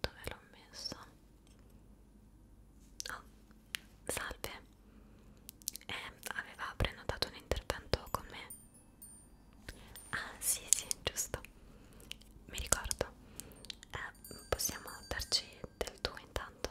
Dove l'ho messo? Oh, salve. Eh, aveva prenotato un intervento con me. Ah, sì, sì, giusto. Mi ricordo. Eh, possiamo darci del tuo intanto?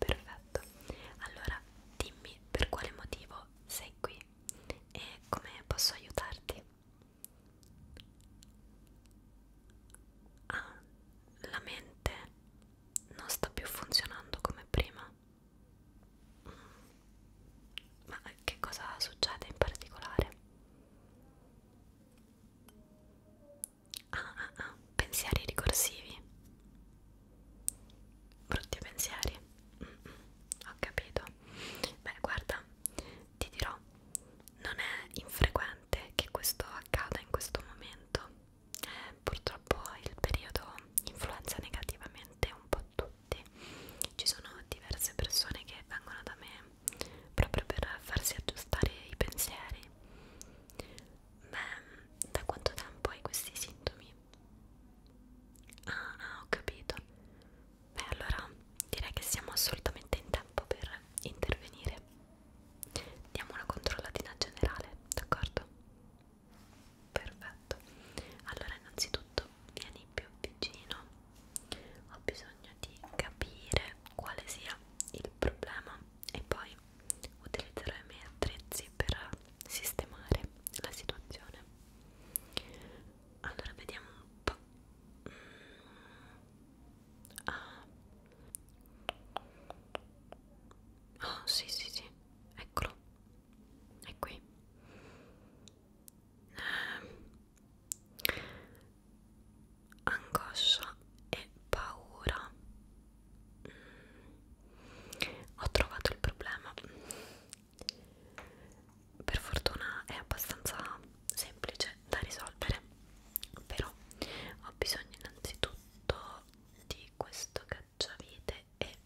Perfetto. Allora, dimmi per quale motivo sei qui e come posso aiutarti? Ah, la mente non sta più funzionando come prima. Mm. Ma che cosa succede in particolare? Ah, ah, ah, pensieri ricorsivi. Brutti pensieri. Mm -mm, ho capito. Beh, guarda, ti dirò, non è infrequente che questo accada in questo momento. Eh, purtroppo il periodo influenza negativamente un po' tutti. Ci sono diverse persone che vengono da me proprio per farsi aggiustare i pensieri. Beh, mm, da quanto tempo hai questi sintomi? Ah, ah, ho capito. Beh, allora direi che siamo assolutamente in tempo per intervenire. Diamo una controllatina generale, d'accordo? Perfetto. Allora, innanzitutto vieni più vicino. Ho bisogno di capire quale sia il problema e poi utilizzerò i miei attrezzi per sistemare la situazione allora vediamo un po' mm. ah. oh sì sì sì eccolo è qui eh, angoscia e paura mm. ho trovato il problema per fortuna è abbastanza semplice da risolvere però ho bisogno innanzitutto di questo cacciavite e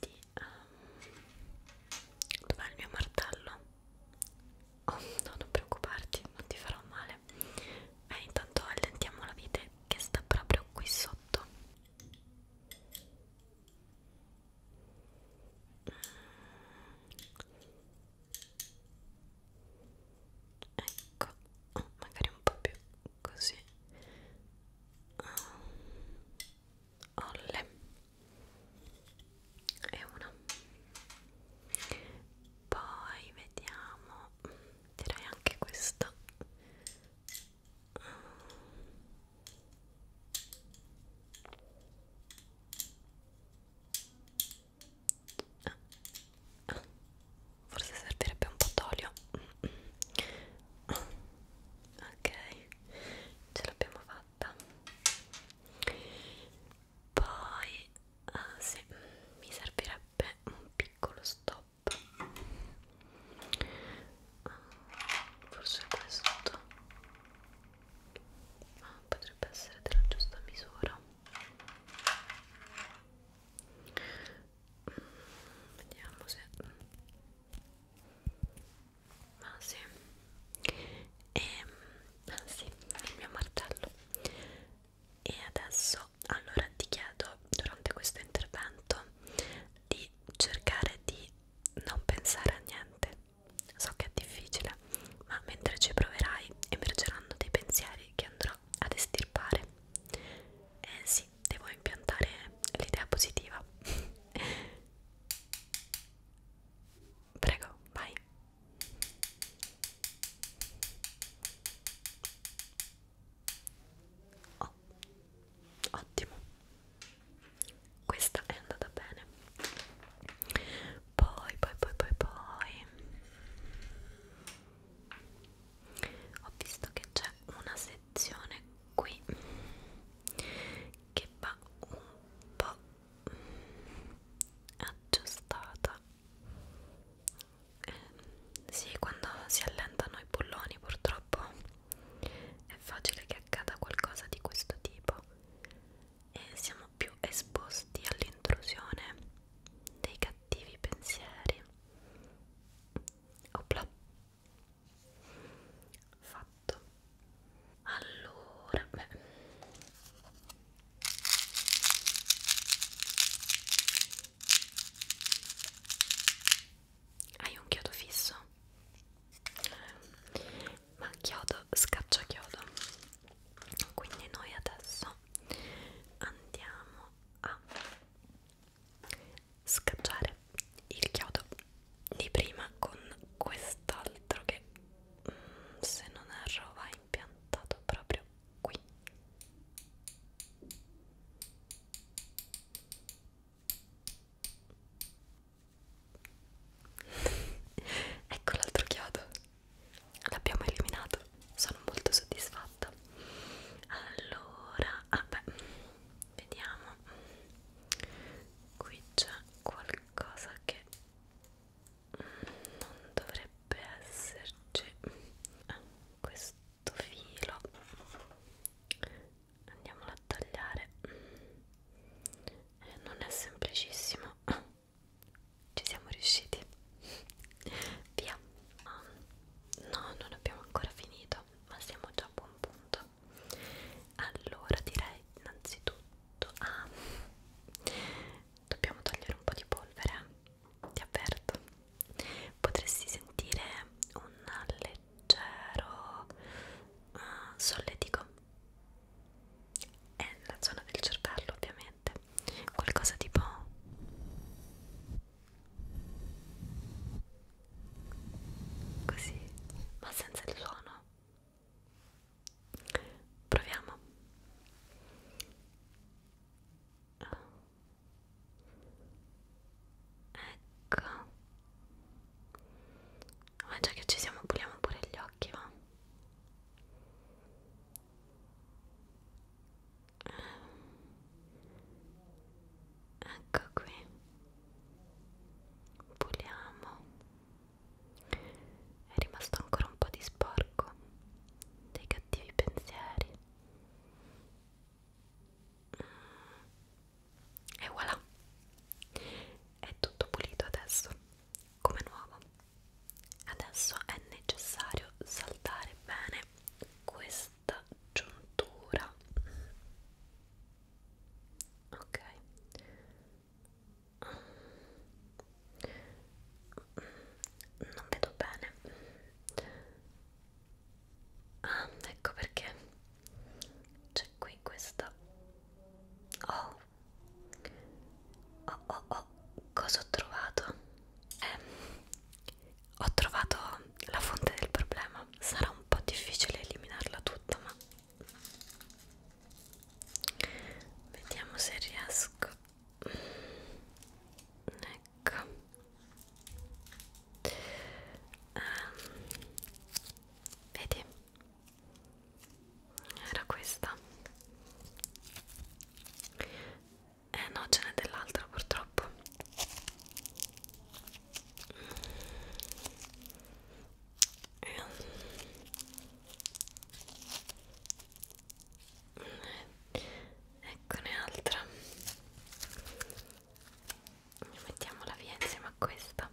di um, dov'è il mio martello Oh, no, non preoccuparti, non ti farò male. Eh, intanto allentiamo la vite che sta proprio qui sotto. Ecco, oh, magari un po' più così. Oh olle e una poi vediamo direi anche questa Forse servirebbe un po' d'olio. Ok, ce l'abbiamo fatta fatta poi ah, sì, mi servirebbe un piccolo stop eh, forse questo ah, potrebbe essere della giusta misura mm, vediamo se ma sì e ehm, ah, sì, il mio martello e adesso allora ti chiedo durante questo intervento di cercare di non pensare a niente so che è difficile ma mentre ci proverai emergeranno dei pensieri che andrò ad estirpare e eh sì devo impiantare l'idea positiva Prego, vai. Oh, ottimo. Questa è andata bene. Poi, poi, poi, poi, poi. Ho visto che c'è una sezione sezione qui che va un po' aggiustata eh, sì quando si allentano i bulloni purtroppo è facile che accada qualcosa di questo tipo e siamo più esposti all'intrusione dei cattivi pensieri Opla fatto allora beh hai un chiodo fisso? ma chiodo scaccia chiodo quindi noi adesso andiamo a scacciare il chiodo di prima con quest'altro che mm, se non erro va impiantato proprio qui ecco l'altro chiodo l'abbiamo eliminato sono molto soddisfatta allora ah beh vediamo qui c'è qualcosa che non dovrebbe esserci ah, questo filo andiamolo a tagliare eh, non è semplicissimo ah, ci siamo riusciti via ah, no non abbiamo ancora finito ma siamo già a buon punto allora direi innanzitutto ah, dobbiamo togliere un po' di polvere ti avverto potresti sentire un leggero uh, solletico è la zona del cervello ovviamente qualcosa tipo così ma senza il suono proviamo ecco ma già che ci siamo puliamo pure gli occhi va ecco qui puliamo è rimasto ancora un po' di sporco dei cattivi pensieri mm. e voilà è tutto pulito adesso come nuovo adesso è necessario saltare bene questo questa giuntura ok non vedo bene ah ecco perché c'è qui questa oh oh oh oh cosa ho trovato ho trovato la fonte del problema. Sarà un po' difficile eliminarla tutta, ma vediamo se riesco. Ecco. Um, vedi? Era questa eh no ce n'è dell'altra purtroppo eh, eccone altra mettiamola via insieme a questa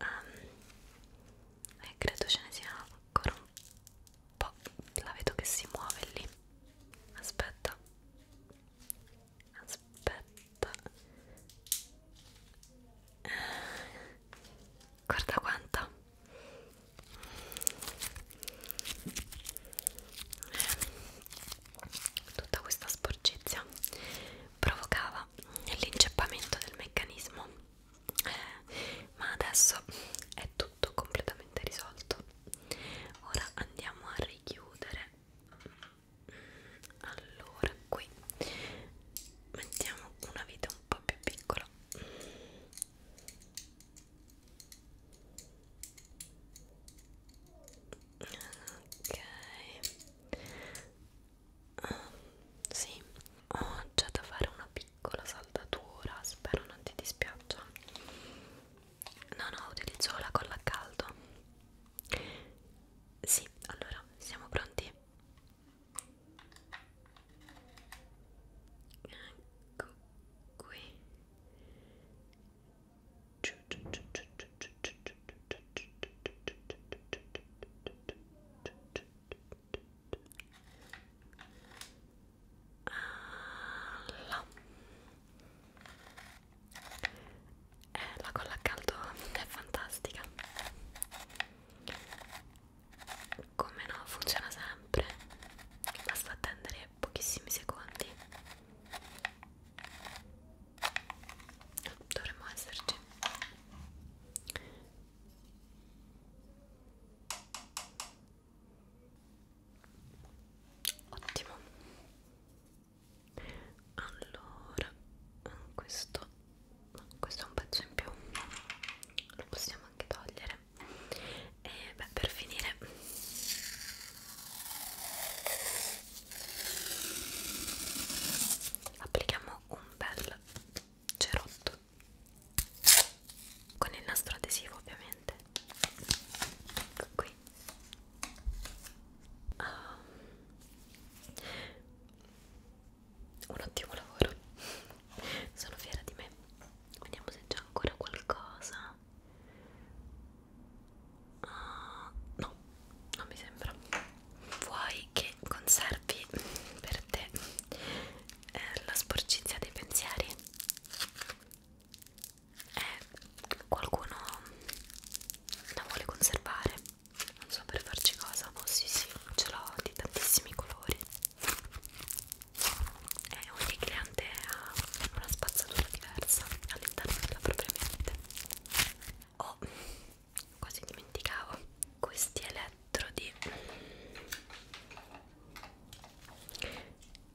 um, ehm, e eh, credo ce ne sia ancora un Boh, la vedo che si muove lì. Aspetta. Aspetta. Guarda quanta. Tutta questa sporcizia provocava l'inceppamento del meccanismo. Eh, ma adesso è tutto tutto completamente risolto ora andiamo a richiudere allora qui mettiamo una vite un po' più piccola ok ah, sì ho già da fare una piccola saldatura spero non ti dispiaccia no no utilizzo la colla a caldo sì allora siamo pronti ecco qui alla. Eh, la colla a caldo è fantastica come no funziona sempre basta attendere pochissimi secondi dovremmo esserci Ottimo. Allora, questo, questo è un pezzo in più, lo possiamo anche togliere. E beh, per finire, applichiamo un bel cerotto con il nastro adesivo ovviamente ecco qui um, un ottimo lavoro sono fiera di me vediamo se c'è ancora qualcosa uh, no non mi sembra vuoi che conservi per te eh, la sporcizia dei pensieri e eh, qualcuno la vuole conservare non so per farci cosa ma oh, sì sì ce l'ho di tantissimi colori e eh, ogni cliente ha una spazzatura diversa all'interno della propria mente oh quasi dimenticavo questi eletti metro di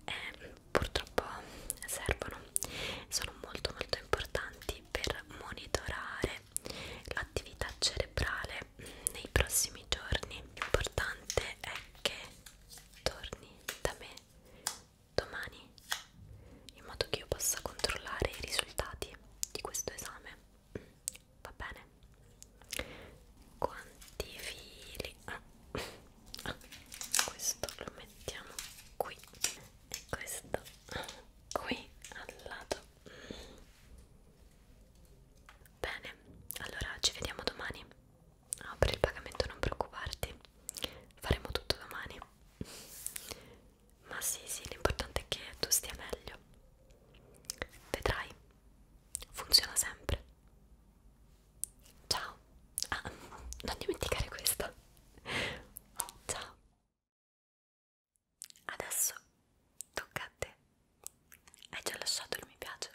eh, purtroppo servono sono molto molto importanti per monitorare l'attività cerebrale nei prossimi giorni l'importante è che torni da me domani in modo che io possa controllare i risultati di questo esame va bene quanti fili ah. Ah. questo lo mettiamo qui e questo qui al lato bene allora ci vediamo domani ah, per il pagamento non preoccuparti faremo tutto domani ma sì, sì, l'importante è che tu stia meglio. Vedrai, funziona sempre. Ciao. Ah, non dimenticare questo. Ciao. Adesso tocca a te. Hai già lasciato il mi piace?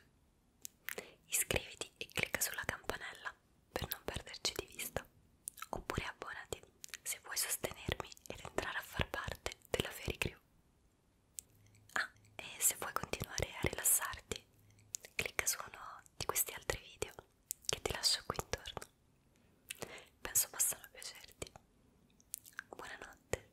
Iscriviti e clicca sulla campanella per non perderci di vista. Oppure abbonati se vuoi sostenermi ed entrare a far parte parte della Fairy Crew. Ah, e se vuoi continuare a rilassarti, clicca su uno di questi altri video che ti lascio qui intorno. Penso possano piacerti. Buonanotte.